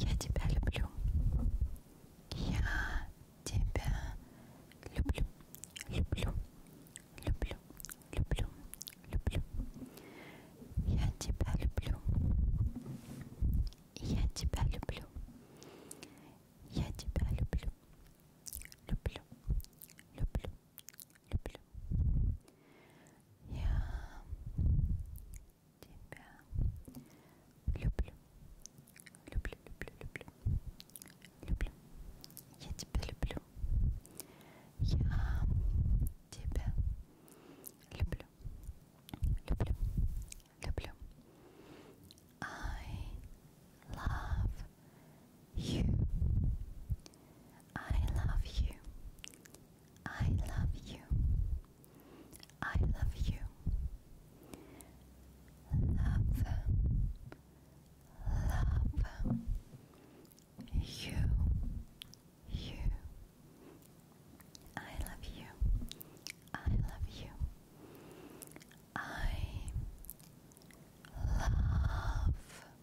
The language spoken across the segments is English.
Я тебя люблю. Я тебя люблю. Люблю. Люблю. Люблю. Люблю. Я тебя люблю. Я тебя люблю. Я тебя люблю. Люблю. Люблю. Люблю. Я тебя люблю, люблю, люблю, люблю, люблю. Я тебя люблю. Я тебя люблю, люблю, люблю. I love you. I love you. I love you. I love you. Love, love you, you. I love you. I love you. I love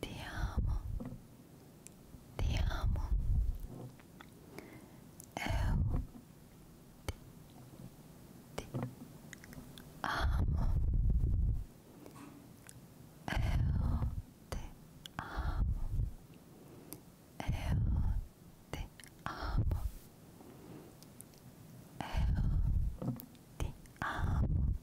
Ti amo, ti amo. Eu ti, ti amo. Eu te amo. Eu te amo. Eu te amo.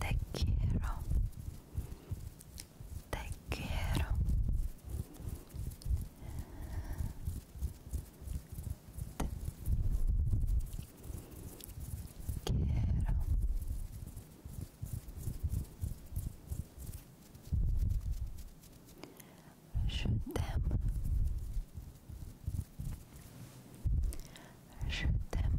Te quiero. Te quiero. Te quiero. Je t'aime. Je t'aime.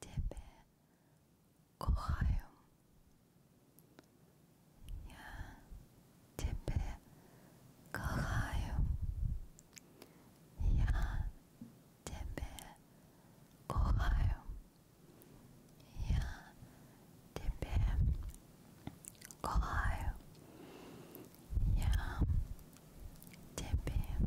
Ciebie kochają. Ja Ciebie kochają. Ja Ciebie kochają. Ja Ciebie kochają. Ja Ciebie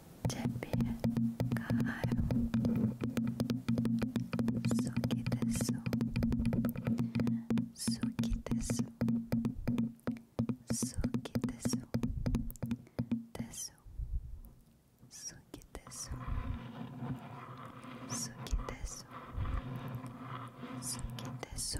제비의 가요 속이 됐어 속이 됐어 속이 됐어 됐어 속이 됐어 속이 됐어 속이 됐어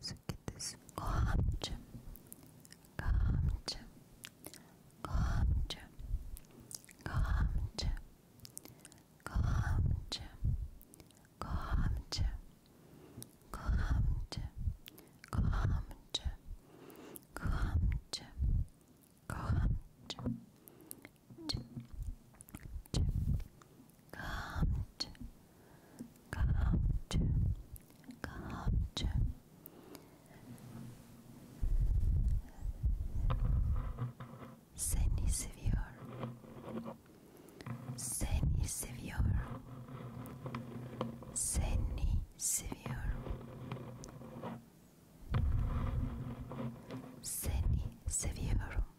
so get this Gamcı Gamcı Gamcı Gamcı Gamcı Gamcı Gamcı Gamcı Gamcı Gamcı Cip, Calmed, calmed, calmed. Seni seviyor, seni seviyor, seni seviyor, seni seviyorum.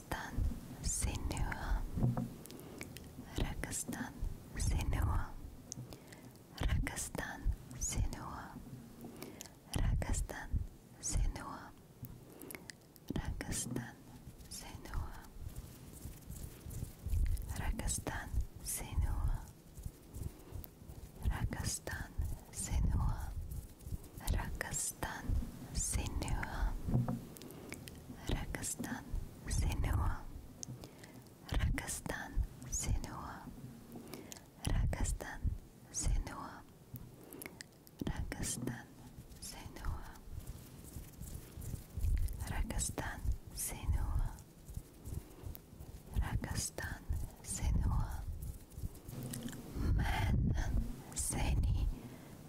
Rakastan Sinua Rakastan Sinua Rakastan Sinua Rakastan Sinua Rakastan Sinua Rakastan Sinua Rakastan Sinua Rakastan Sinua Rakastan Sinua Rakastan Sinua Rakastan Sinua Rakastan Sinua Rakastan Sinua Rakastan Sinua Man Seni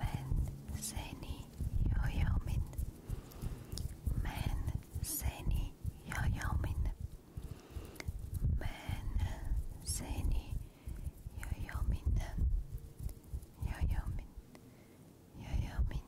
Ben seni yoyomin Ben seni yoyomin Ben seni yoyomin yoyomin yoyomin